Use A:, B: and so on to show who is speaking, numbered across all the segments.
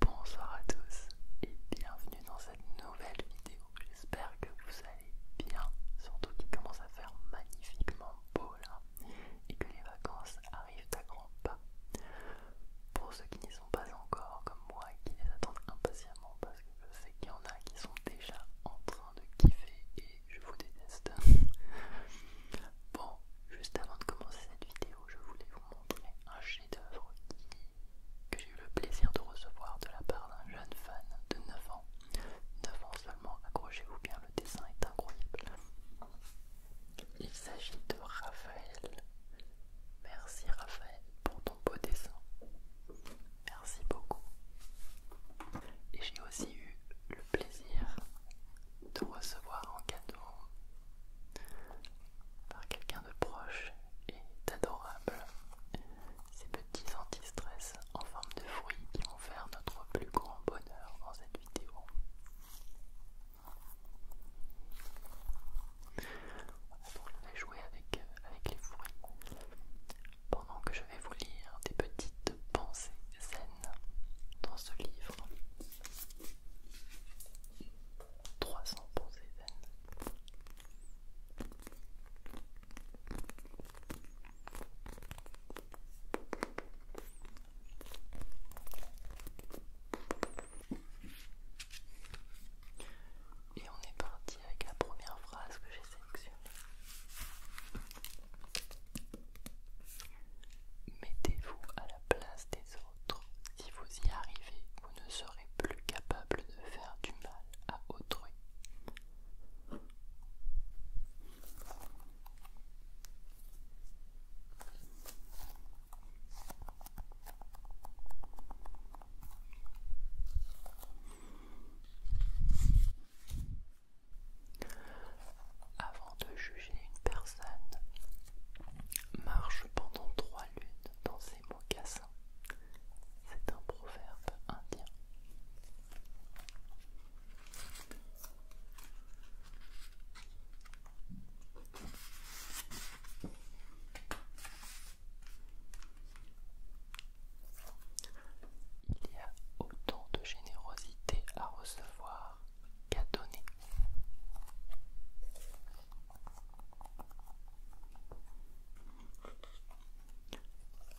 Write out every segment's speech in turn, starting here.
A: Bonsoir à tous et bienvenue dans cette nouvelle vidéo. J'espère que vous allez bien, surtout qu'il commence à faire magnifiquement beau là et que les vacances arrivent à grands pas. Pour ceux qui n'y sont pas encore, comme moi, qui les attendent impatiemment parce que je sais qu'il y en a qui sont déjà en train de kiffer et je vous déteste. Bon, juste avant de commencer cette vidéo, je voulais vous montrer un chef-d'œuvre que j'ai eu le plaisir de recevoir de la part d'un jeune fan de 9 ans. 9 ans seulement, accrochez-vous bien, le dessin est incroyable. Il s'agit de Raphaël. Merci Raphaël pour ton beau dessin. Merci beaucoup. Et j'ai aussi eu le plaisir de recevoir en cadeau par quelqu'un de proche et d'adorable ces petits anti-stress en forme de fruits qui vont faire notre plus grand bonheur dans cette vidéo. Donc je jouer avec, avec les fruits pendant que je vais vous lire des petites pensées zen dans ce livre. 300 pour Et on est parti avec la première phrase que j'ai sélectionnée. Mettez-vous à la place des autres. Si vous y arrivez, vous ne serez plus capable de faire du mal à autrui. Avant de juger une personne, marche pendant trois lunes dans ses mocassins. C'est un proverbe indien. Il y a autant de générosité à recevoir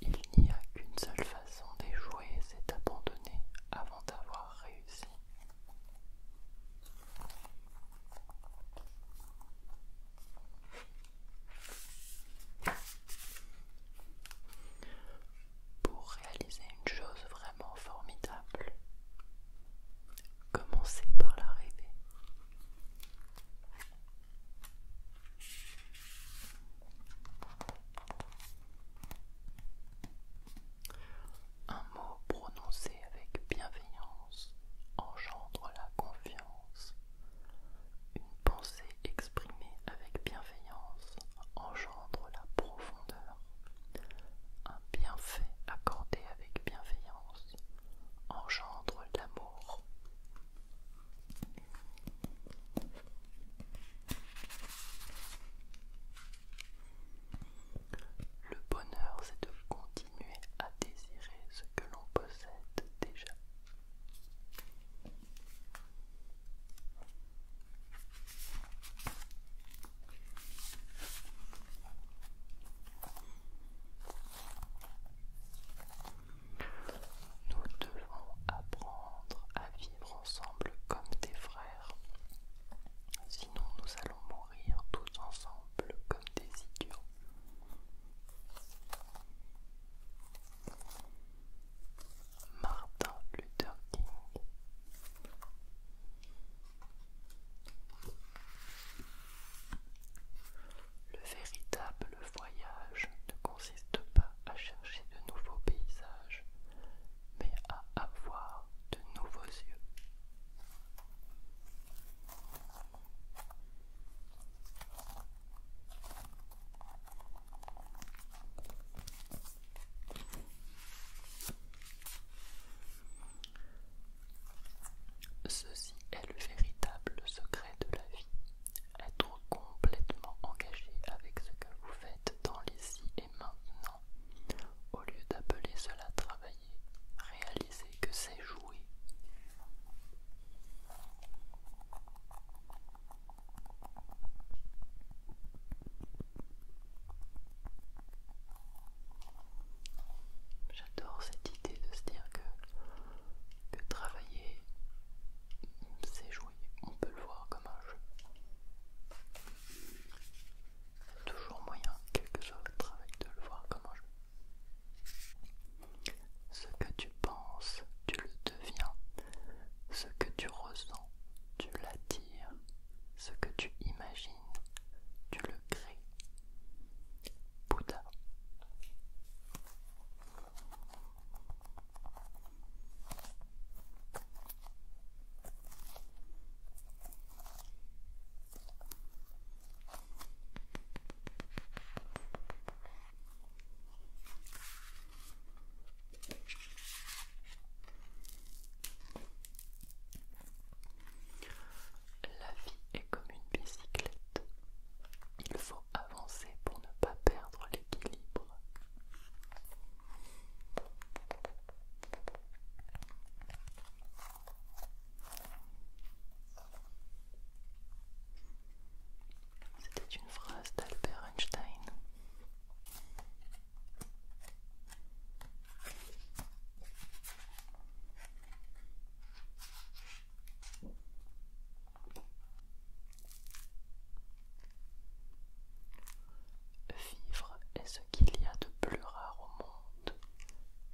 A: il n'y a qu'une seule façon d'échouer, c'est d'abandonner avant d'avoir réussi pour réaliser une chose vraiment formidable. Commencez par la rêver. Un mot prononcé avec bienveillance engendre la confiance. Une pensée exprimée avec bienveillance engendre la profondeur. Un bienfait accordé avec bienveillance engendre l'amour. Le bonheur, c'est de continuer à désirer ce que l'on possède déjà. Nous devons apprendre à vivre ensemble comme des frères. Sinon nous allons mourir tous ensemble comme des idiots. Martin Luther King. Le véritable voyage ne consiste pas à chercher de nouveaux paysages, mais à avoir de nouveaux yeux. Ceci est le véritable secret de la vie, être complètement engagé avec ce que vous faites dans l'ici et maintenant, au lieu d'appeler cela travailler, réalisez que c'est jouer. J'adore cette idée de se dire que, travailler, c'est jouer. On peut le voir comme un jeu. Il y a toujours moyen, quel que soit le travail, de le voir comme un jeu. Ce que tu penses, tu le deviens. Ce que tu ressens, tu l'attires, ce que tu imagines, tu le crées. Bouddha. La vie est comme une bicyclette. Il faut avancer pour ne pas perdre l'équilibre. C'était une phrase d'Albert Einstein. Vivre est ce qu'il y a de plus rare au monde.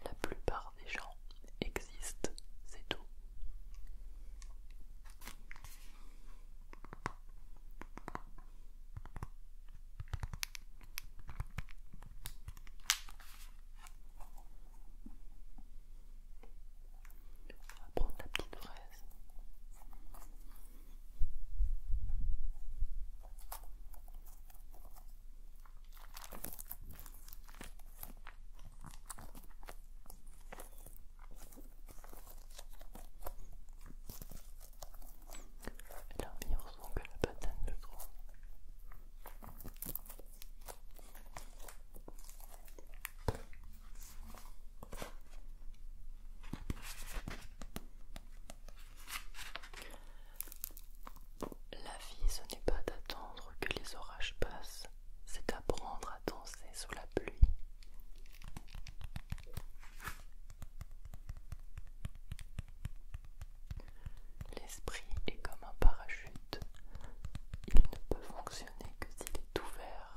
A: La plupart des gens existent, c'est tout. On va prendre la petite fraise. La meilleure que la banane le trouve. La vie, ce n'est pas d'attendre que les orages passent, c'est apprendre à danser sous la pluie. L'esprit est comme un parachute, il ne peut fonctionner que s'il est ouvert.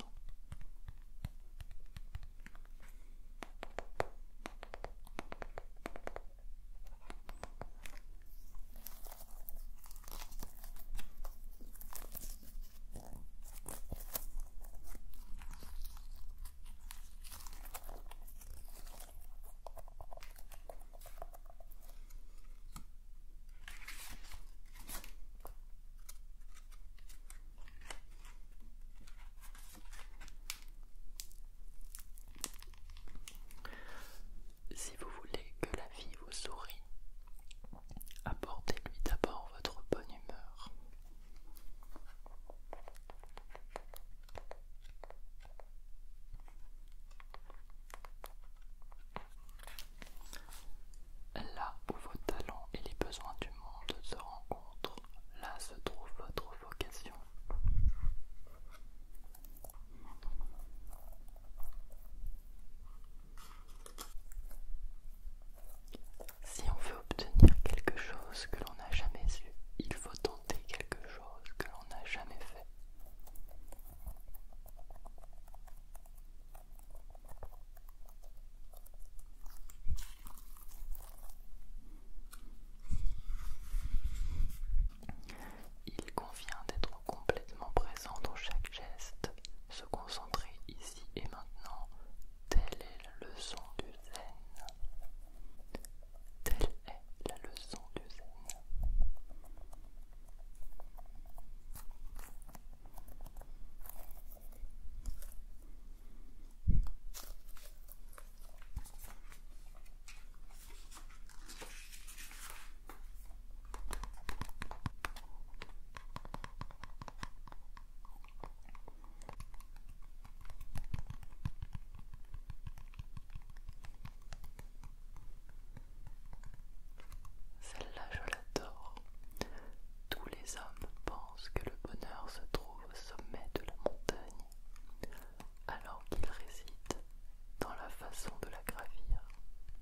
A: Si vous voulez que la vie vous sourie, Apportez-lui d'abord votre bonne humeur. Là où vos talents et les besoins du monde se rencontrent, là se trouve votre vocation. Si on veut obtenir quelque chose que l'on n'a jamais eu, il faut tenter quelque chose que l'on n'a jamais fait. Il convient d'être complètement présent dans chaque geste, se concentrer ici et maintenant, telle est la leçon du zen. Telle est la leçon du zen. Celle-là, je l'adore. Tous les hommes pensent que le bonheur se trouve au sommet de la montagne, alors qu'il réside dans la façon de la gravir.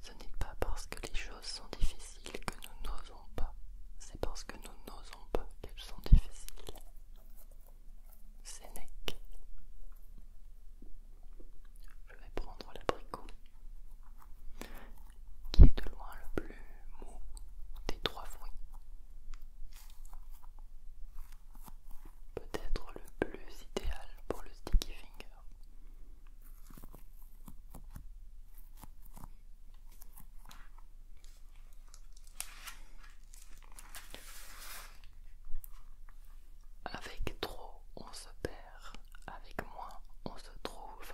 A: Ce n'est pas parce que les choses sont difficiles que nous n'osons pas, c'est parce que nous n'osons pas qu'elles sont difficiles. Sénèque. Je vais prendre l'abricot, qui est de loin le plus mou des trois fruits. Peut-être le plus idéal pour le sticky finger. Avec trop, on se perd, avec moins, on se trouve.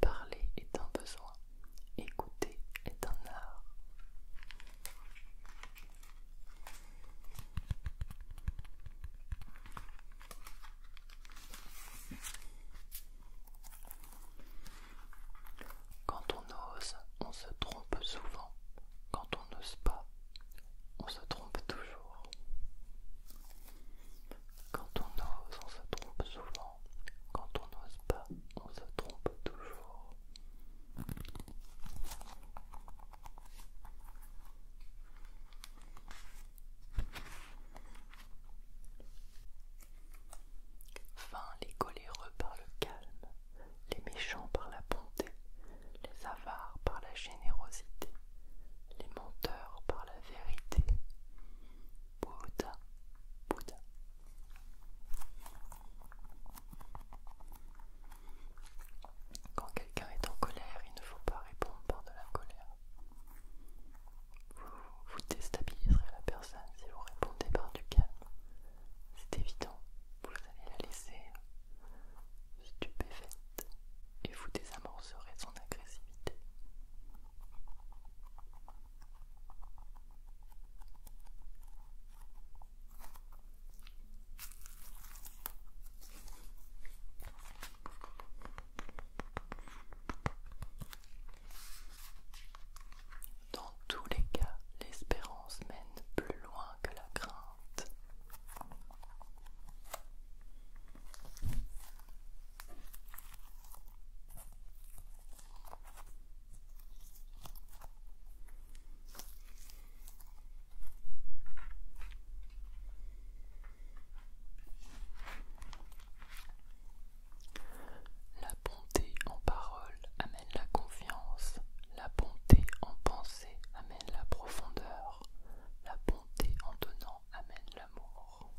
A: Parler est un besoin, écouter est un art. Quand on ose, on se trompe souvent. Quand on n'ose pas, on se trompe toujours. Quand on ose, on se trompe souvent. Quand on n'ose pas, on se trompe toujours. Fin les coléreux par le calme, les méchants par la bonté, les avares par la générosité, les menteurs par la vérité. Bouddha, Bouddha. Quand quelqu'un est en colère, il ne faut pas répondre par de la colère. Vous, vous déstabiliserez la personne si vous répondez par du calme. C'est évident, vous allez la laisser stupéfaite et vous désamorcerez son agressivité. Dans tous les cas, l'espérance mène plus loin que la crainte. La bonté en parole amène la confiance, la bonté en pensée amène la profondeur, la bonté en donnant amène l'amour.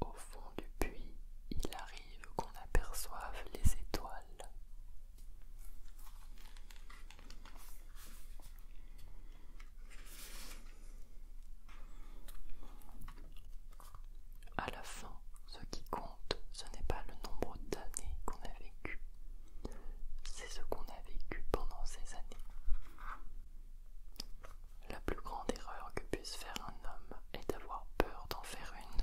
A: Au fond du puits, il arrive qu'on aperçoive les étoiles. À la fin, ce qui compte, ce n'est pas le nombre d'années qu'on a vécues, c'est ce qu'on a vécu pendant ces années. La plus grande erreur que puisse faire un homme est d'avoir peur d'en faire une.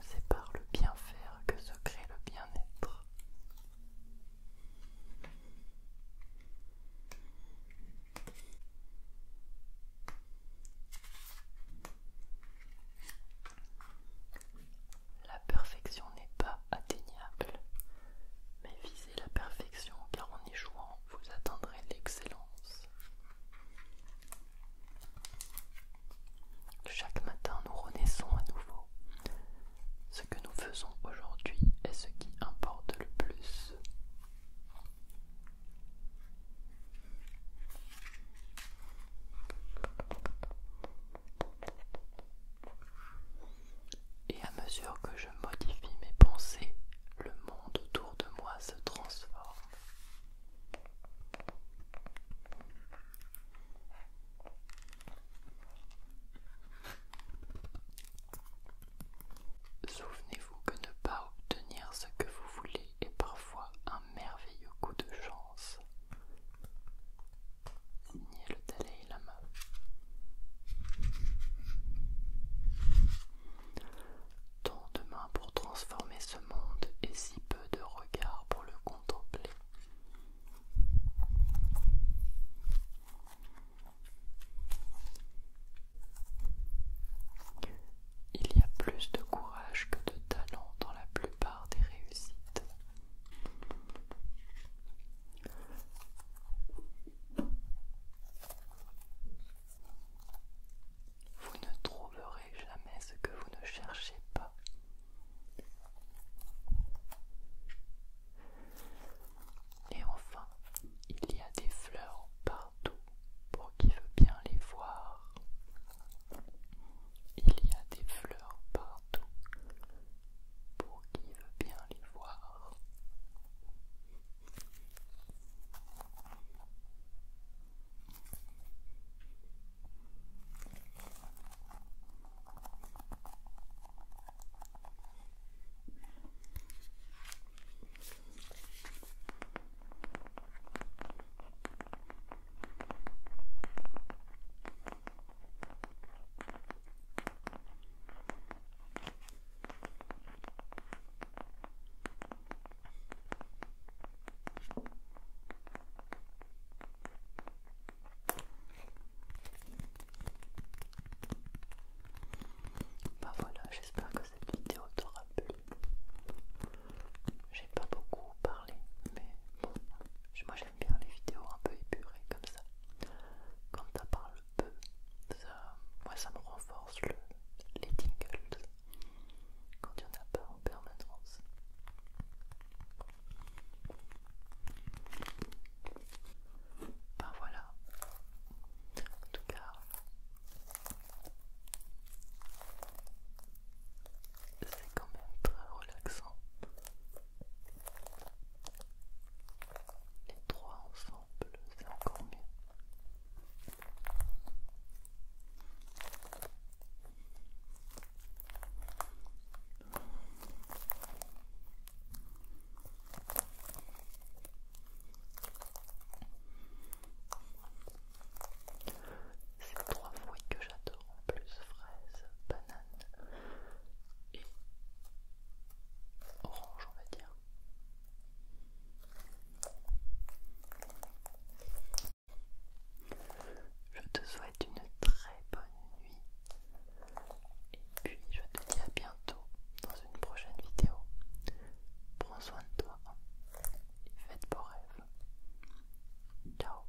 A: C'est par le bien faire que se crée le bien-être. La perfection n'est pas atteignable, mais visible la perfection car en y jouant, vous atteindrez l'excellence. Chaque matin, nous renaissons à nouveau. Ce que nous faisons aujourd'hui est ce qui importe le plus. Et à mesure que je modifie mes pensées, le monde autour de moi se transforme. Souvenez-vous que ne pas obtenir ce que vous voulez est parfois un merveilleux coup de chance. Nier le main. Tant de mains pour transformer ce monde et si peu de regards pour le contempler. Il y a plus de courage que de talent dans la plupart des réussites. Vous ne trouverez jamais ce que vous ne cherchez pas. Et enfin, il y a des fleurs partout pour qui veut bien les voir. Il y a des fleurs partout pour qui veut bien les voir. Bah voilà, j'espère que cette vidéo t'aura plu. J'ai pas beaucoup parlé, mais moi j'aime bien les vidéos un peu épurées comme ça quand t'en parle peu, ça, moi ça me renforce les tingles quand il y en a pas en permanence. Ben voilà, en tout cas, c'est quand même très relaxant. Les trois ensemble, c'est encore mieux. C'est trois fruits que j'adore en plus, fraises, bananes et orange on va dire je te souhaite une très bonne nuit et puis je te dis à bientôt dans une prochaine vidéo prends soin de toi et faites beaux rêves ciao